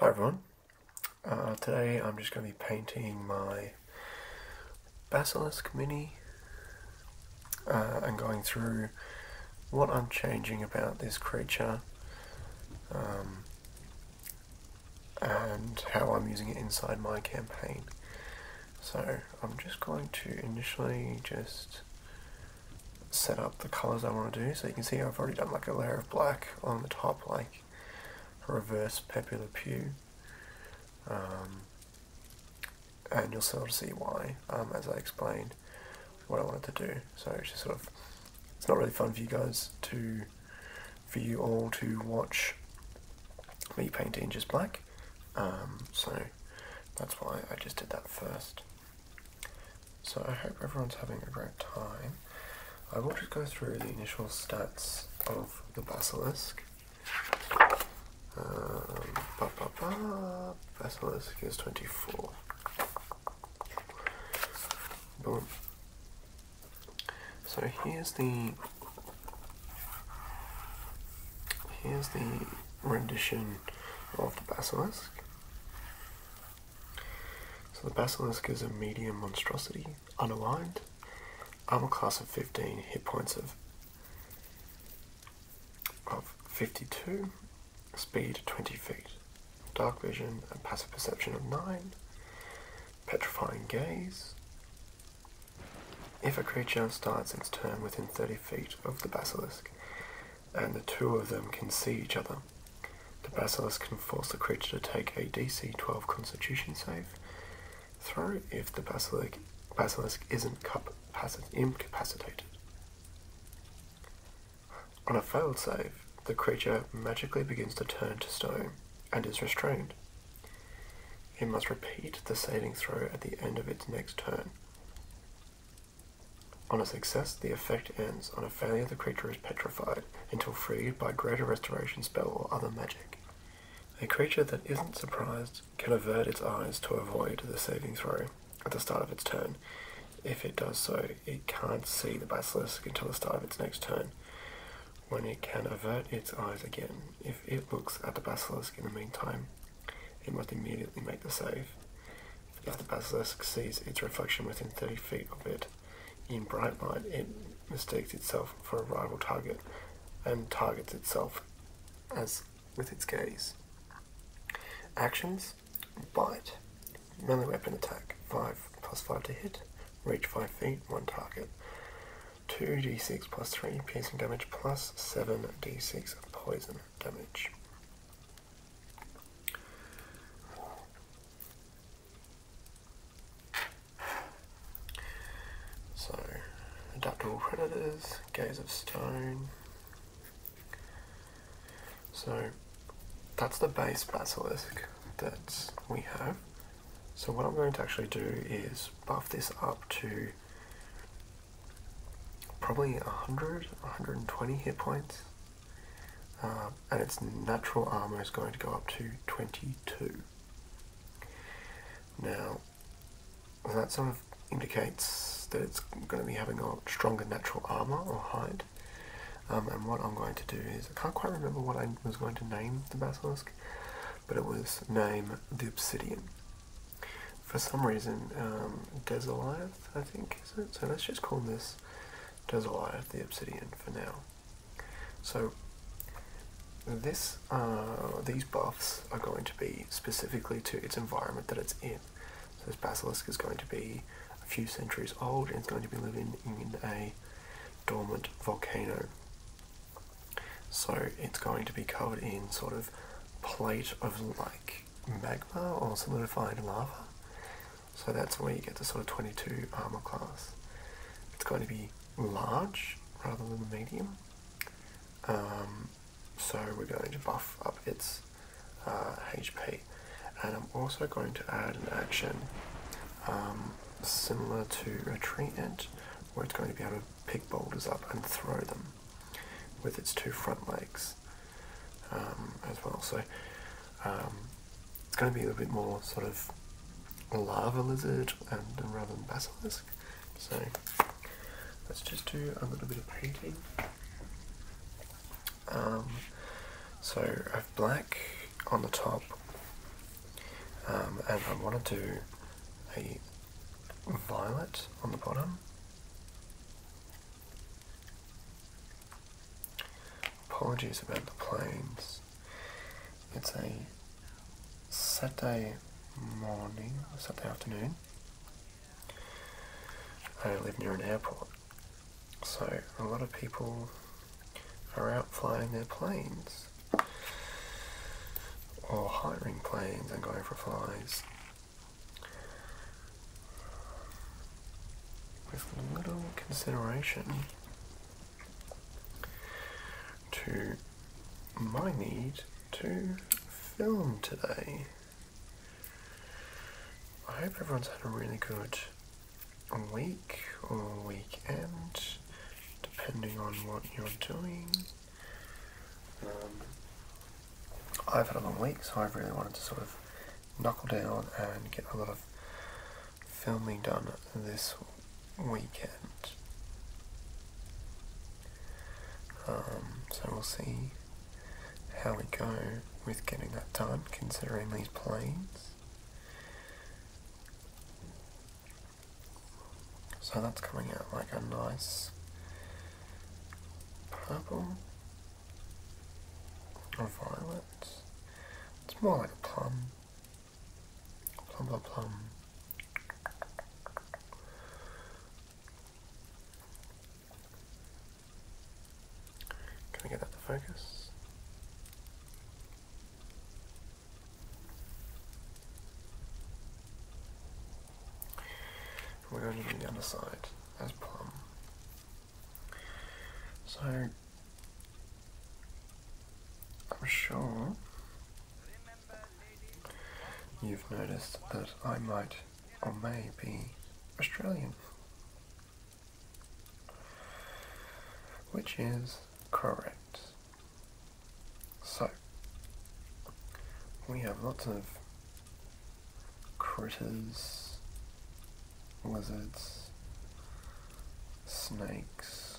Hi everyone. Uh, today I'm just going to be painting my Basilisk Mini I'm uh, going through what I'm changing about this creature. Um, and how I'm using it inside my campaign. So I'm just going to initially just set up the colors I want to do. So you can see I've already done like a layer of black on the top, like reverse Pepe Le Pew. Um, and you'll sort of see why um, as I explain what I wanted to do. So it's just sort of, it's not really fun for you guys to for you all to watch me paint in just black. Um, so that's why I just did that first. So I hope everyone's having a great time. I will just go through the initial stats of the basilisk. Um, ba -ba -ba, basilisk is 24. So here's the here's the rendition of the basilisk. So the basilisk is a medium monstrosity, unaligned, armor class of 15, hit points of of 52, speed 20 feet, dark vision and passive perception of 9, Petrifying Gaze. If a creature starts its turn within 30 feet of the basilisk, and the two of them can see each other, the basilisk can force the creature to take a DC 12 Constitution save throw if the basilisk, basilisk isn't incapacitated. On a failed save, the creature magically begins to turn to stone and is restrained. It must repeat the saving throw at the end of its next turn. On a success, the effect ends. On a failure, the creature is petrified until freed by greater restoration spell or other magic. A creature that isn't surprised can avert its eyes to avoid the saving throw at the start of its turn. If it does so, it can't see the basilisk until the start of its next turn when it can avert its eyes again. If it looks at the basilisk in the meantime, it must immediately make the save. If the basilisk sees its reflection within 30 feet of it in bright light, it mistakes itself for a rival target and targets itself as with its gaze. Actions Bite, melee weapon attack, 5 plus 5 to hit, reach 5 feet, 1 target. 2d6 plus 3 piercing damage plus 7d6 poison damage. So, adaptable predators, gaze of stone. So, that's the base basilisk that we have. So what I'm going to actually do is buff this up to probably 100, 120 hit points. Um, and its natural armor is going to go up to 22. Now, that sort of indicates that it's going to be having a stronger natural armor or hide. Um, and what I'm going to do is, I can't quite remember what I was going to name the basilisk, but it was name the obsidian. For some reason, um, Desoliath, I think, is it? So let's just call this Desoliath the obsidian for now. So this, uh, these buffs are going to be specifically to its environment that it's in. So this basilisk is going to be a few centuries old and it's going to be living in a dormant volcano. So it's going to be covered in sort of plate of like magma or solidified lava. So that's where you get the sort of 22 armor class. It's going to be large rather than medium. Um, so we're going to buff up its HP. Uh, and I'm also going to add an action um, similar to a tree ant where it's going to be able to pick boulders up and throw them with its two front legs um, as well. So um, it's going to be a bit more sort of a lava lizard and, rather than basilisk. So let's just do a little bit of painting. Um, so I have black on the top um, and I want to do a violet on the bottom. Apologies about the planes. It's a Saturday morning, Saturday afternoon. I live near an airport, so a lot of people are out flying their planes or hiring planes and going for flies with little consideration to my need to film today. I hope everyone's had a really good a week or weekend, depending on what you're doing. Um, I've had a long week, so I really wanted to sort of knuckle down and get a lot of filming done this weekend. Um, so we'll see how we go with getting that done, considering these planes. So that's coming out like a nice purple or violet. It's more like a plum. Plum, plum, plum. Can I get that to focus? We're going to do the other side as plum. So I'm sure you've noticed that I might or may be Australian which is correct. So, we have lots of critters, lizards, snakes,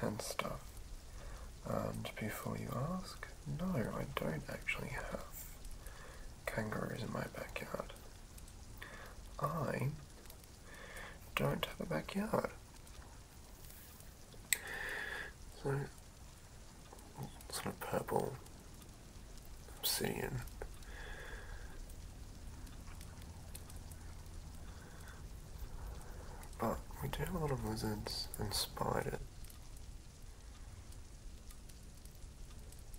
and stuff. And before you ask, no, I don't actually have kangaroos in my backyard. I don't have a backyard. So, sort of purple obsidian. But we do have a lot of lizards and spiders.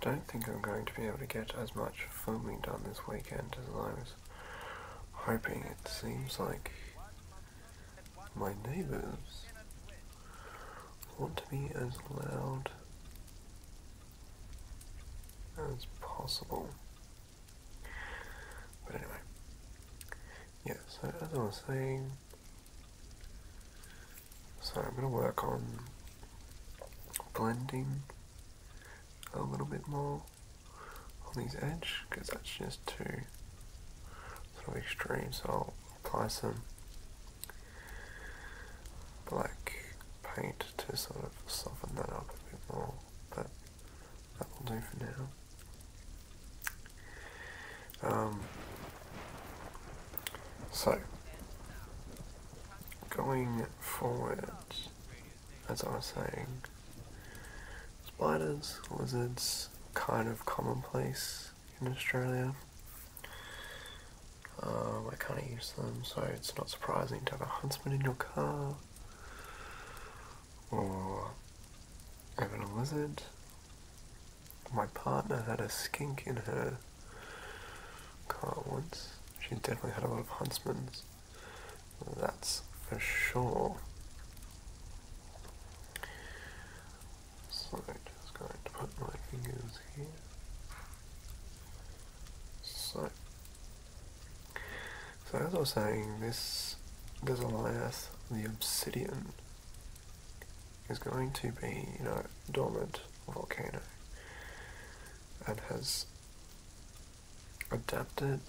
I don't think I'm going to be able to get as much filming done this weekend as I was hoping. It seems like my neighbours want to be as loud as possible. But anyway, yeah, so as I was saying, so I'm going to work on blending a little bit more on these edge because that's just too sort of extreme. So I'll apply some black paint to sort of soften that up a bit more, but that will do for now. Um, so, going forward, as I was saying, spiders, lizards, kind of commonplace in Australia. Um, I kind of use them, so it's not surprising to have a huntsman in your car or even a lizard. My partner had a skink in her car once. She definitely had a lot of huntsmans. That's for sure. So just going to put my fingers here. So so as I was saying, this this Elias, the obsidian, is going to be, you know, dormant volcano and has adapted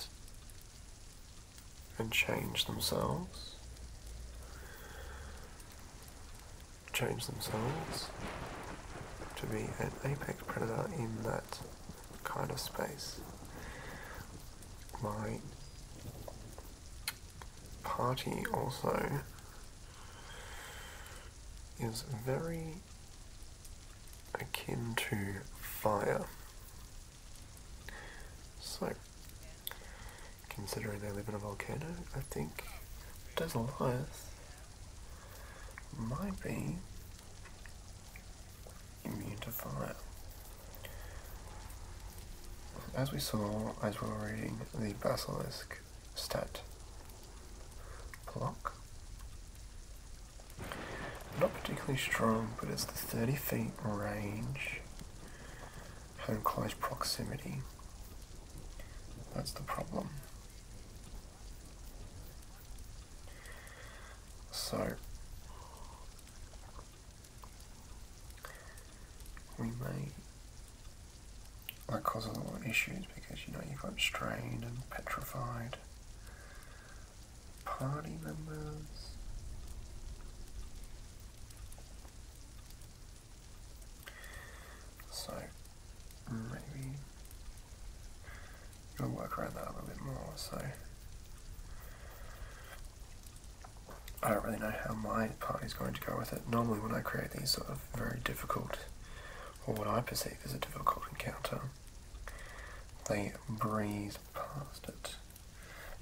and changed themselves. Change themselves to be an apex predator in that kind of space my party also is very akin to fire. So, considering they live in a volcano, I think Desoliath might be Beautiful. As we saw as we were reading the basilisk stat block, not particularly strong, but it's the 30 feet range, home close proximity. That's the problem. So, we may like cause a lot of issues because you know you've got strained and petrified party members. So maybe I'll work around that a little bit more. So I don't really know how my party is going to go with it. Normally when I create these sort of very difficult, or what I perceive as a difficult encounter, they breeze past it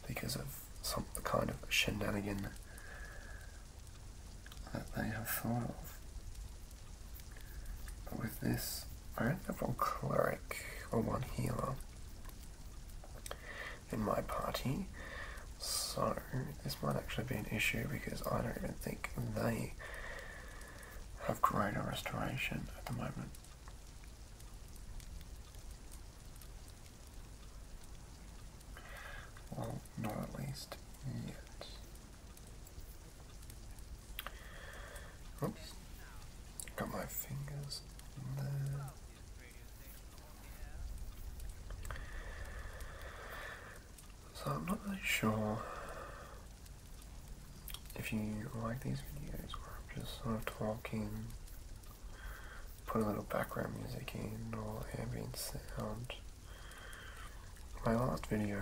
because of some kind of shenanigan that they have thought of. But with this, I do have one cleric or one healer in my party, so this might actually be an issue because I don't even think they have greater restoration at the moment. Well, not at least yet. Oops. Got my fingers there. So I'm not really sure if you like these videos or I'm just sort of talking, put a little background music in or ambient sound. My last video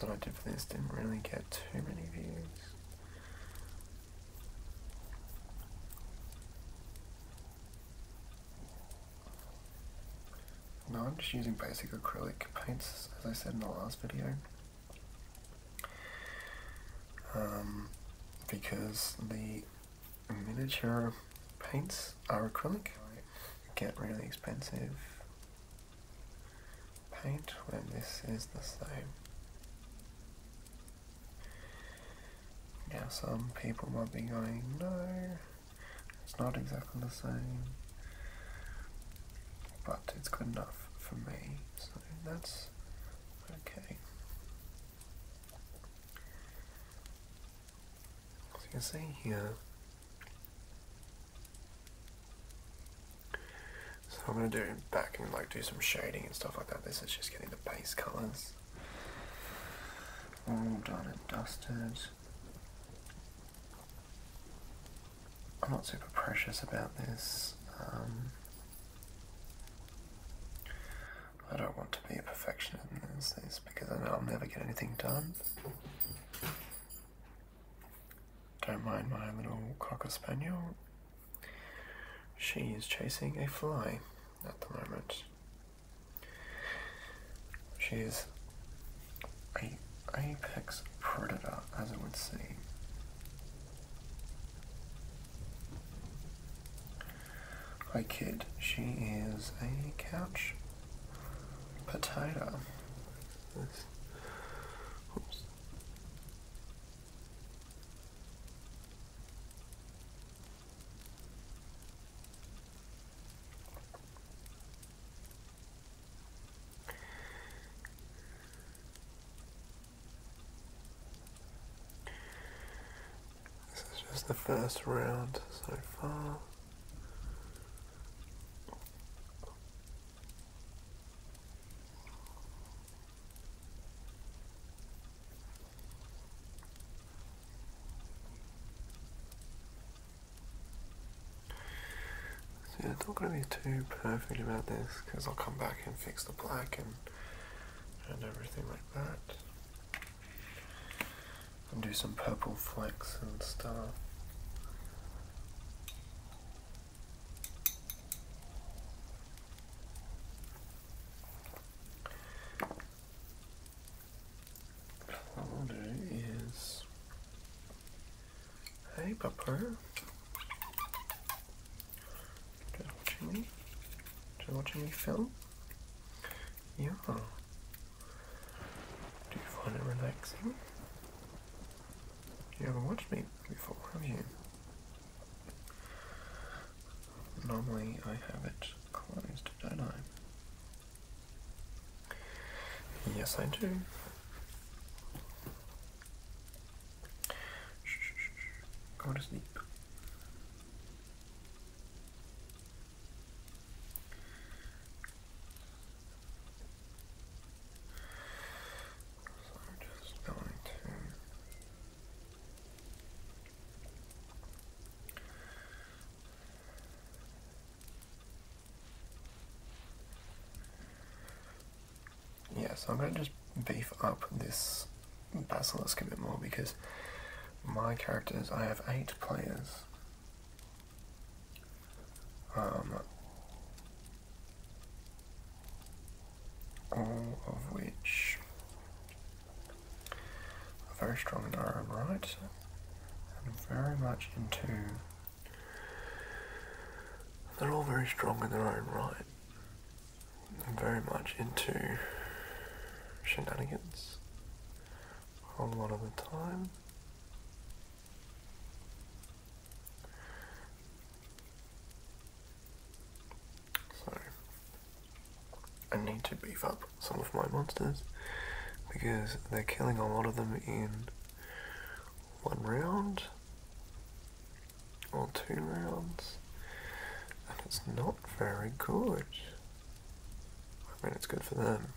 what I did for this didn't really get too many views. No, I'm just using basic acrylic paints, as I said in the last video. Um, because the miniature paints are acrylic, get really expensive paint when this is the same. Now some people might be going, no, it's not exactly the same, but it's good enough for me, so that's okay. As you can see here, so I'm going to do back and like do some shading and stuff like that. This is just getting the base colours all done and dusted. I'm not super precious about this. Um, I don't want to be a perfectionist in this because I'll never get anything done. Don't mind my little cocker spaniel. She is chasing a fly at the moment. She is a apex predator, as it would seem. I kid, she is a couch potato. This is just the first round so far. So yeah, don't going to be too perfect about this because I'll come back and fix the black and and everything like that. And do some purple flecks and stuff. What we'll do is, hey, Papa. Just watching me. Just watching me film. Yeah. Do you find it relaxing? You ever watched me before, have you? Normally I have it closed, don't I? Yes, I do. Go to sleep. So I'm just going to yeah, so I'm going to just beef up this Basilisk a bit more because my characters, I have eight players um, all of which are very strong in their own right and very much into. They're all very strong in their own right and very much into shenanigans a lot of the time. So, I need to beef up some of my monsters because they're killing a lot of them in one round or two rounds and it's not very good. I mean it's good for them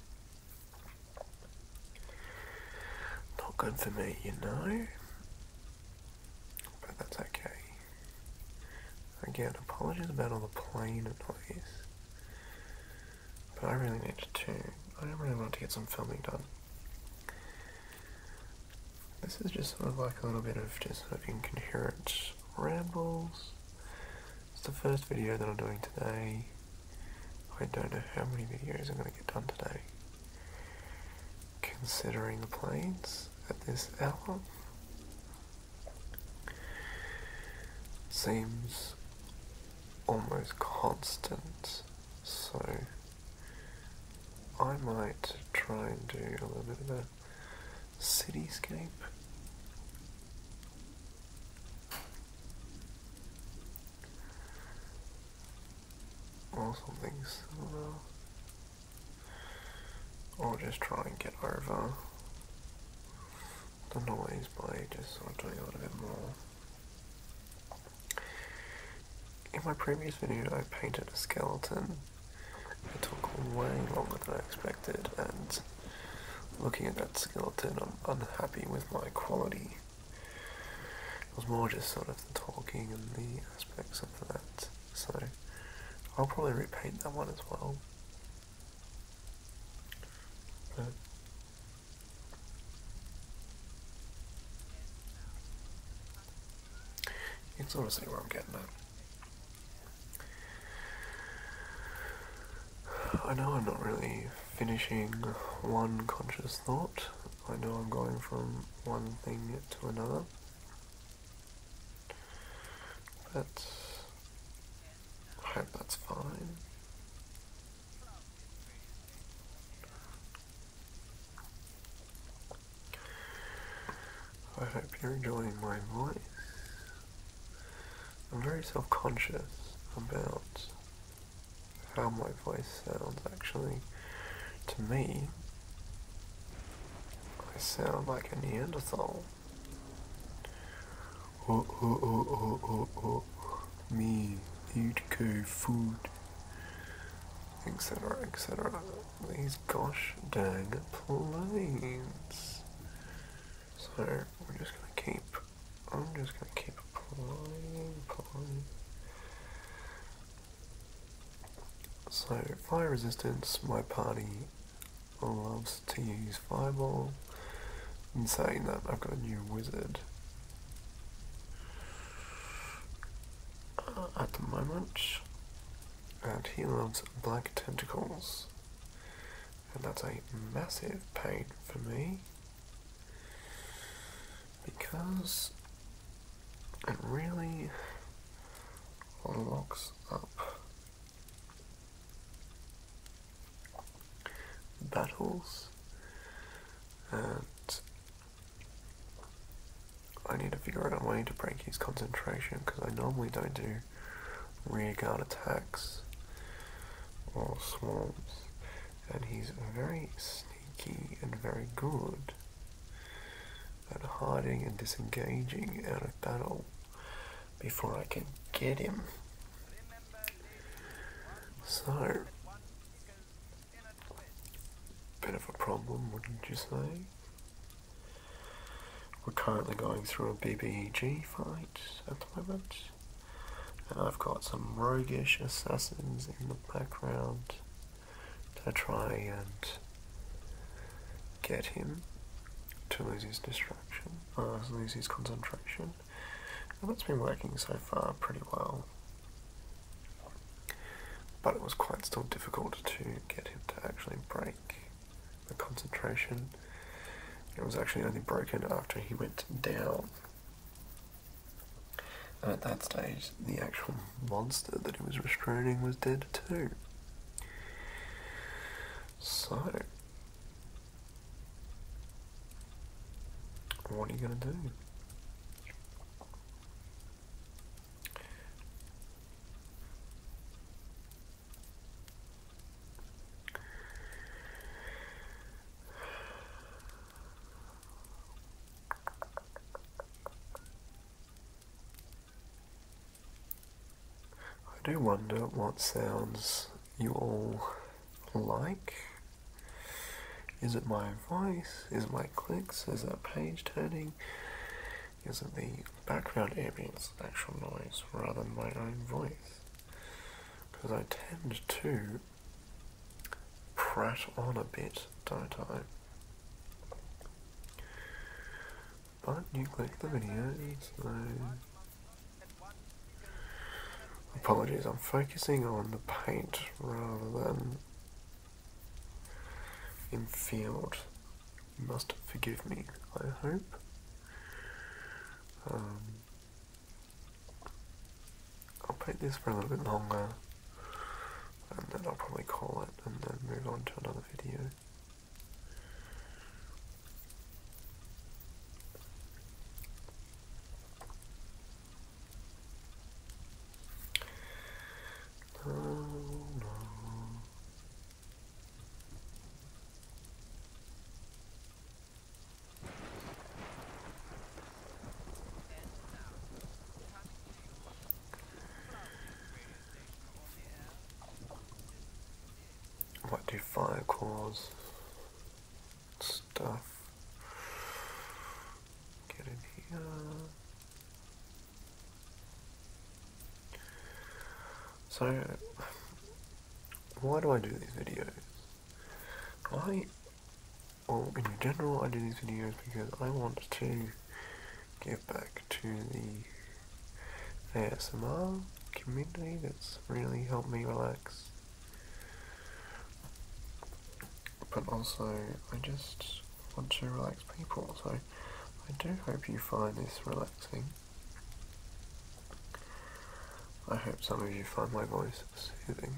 not good for me, you know. But that's okay. Again, apologies about all the plane noise. But I really need to. I don't really want to get some filming done. This is just sort of like a little bit of just sort of incoherent rambles. It's the first video that I'm doing today. I don't know how many videos I'm going to get done today. Considering the planes at this hour, seems almost constant, so I might try and do a little bit of a cityscape or something similar. Uh, or just try and get over the noise by just sort of doing a little bit more. In my previous video I painted a skeleton. It took way longer than I expected and looking at that skeleton I'm unhappy with my quality. It was more just sort of the talking and the aspects of that. So I'll probably repaint that one as well. But you can sort of see where I'm getting at. I know I'm not really finishing one conscious thought I know I'm going from one thing to another, but I hope that's fine. I hope you're enjoying my voice. I'm very self-conscious about how my voice sounds actually. To me, I sound like a Neanderthal. Oh, oh, oh, oh, oh, oh, me, eat good food, etc., etc. These gosh dang planes. So, we're just gonna keep I'm just going to keep applying, applying. So, fire resistance, my party loves to use fireball. In saying that, I've got a new wizard. Uh, at the moment, and he loves black tentacles, and that's a massive pain for me because it really locks up battles and I need to figure out a way to break his concentration because I normally don't do rearguard attacks or swarms and he's very sneaky and very good at hiding and disengaging out of battle before I can get him. So, bit of a problem, wouldn't you say? We're currently going through a BBG fight at the moment. And I've got some roguish assassins in the background to try and get him to lose his distraction, uh, lose his concentration. And that's been working so far pretty well. But it was quite still difficult to get him to actually break the concentration. It was actually only broken after he went down. And at that stage, the actual monster that he was restraining was dead too. So, what are you going to do? I do wonder what sounds you all like. Is it my voice? Is it my clicks? Is it page turning? Is it the background ambience actual noise rather than my own voice? Because I tend to prat on a bit, don't I? But you click the video, so... Apologies, I'm focusing on the paint rather than in field. You must forgive me, I hope. Um, I'll paint this for a little bit longer and then I'll probably call it and then move on to another video. Might do fire calls. stuff. Get in here. So, why do I do these videos? I well, in general, I do these videos because I want to give back to the ASMR community that's really helped me relax. But also, I just want to relax people, so I do hope you find this relaxing. I hope some of you find my voice soothing.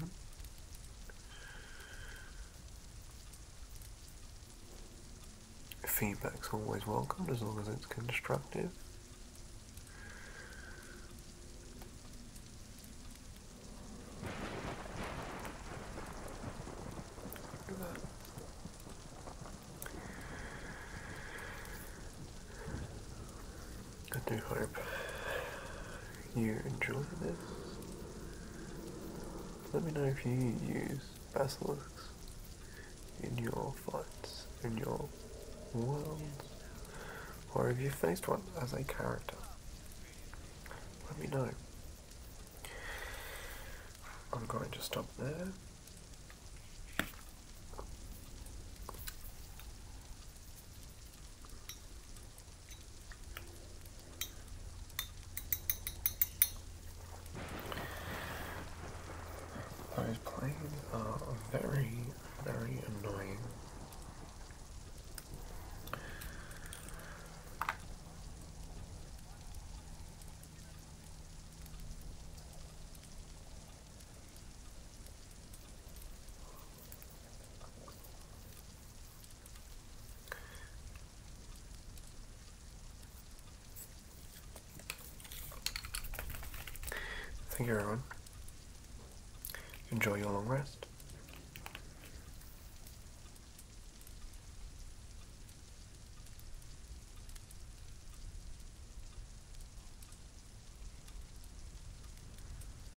Feedback's always welcome as long as it's constructive. I do hope you enjoy this. Let me know if you use basilisks in your fights, in your worlds, or if you faced one as a character. Let me know. I'm going to stop there. Those planes uh, are very, very annoying. Thank you, everyone. Enjoy your long rest.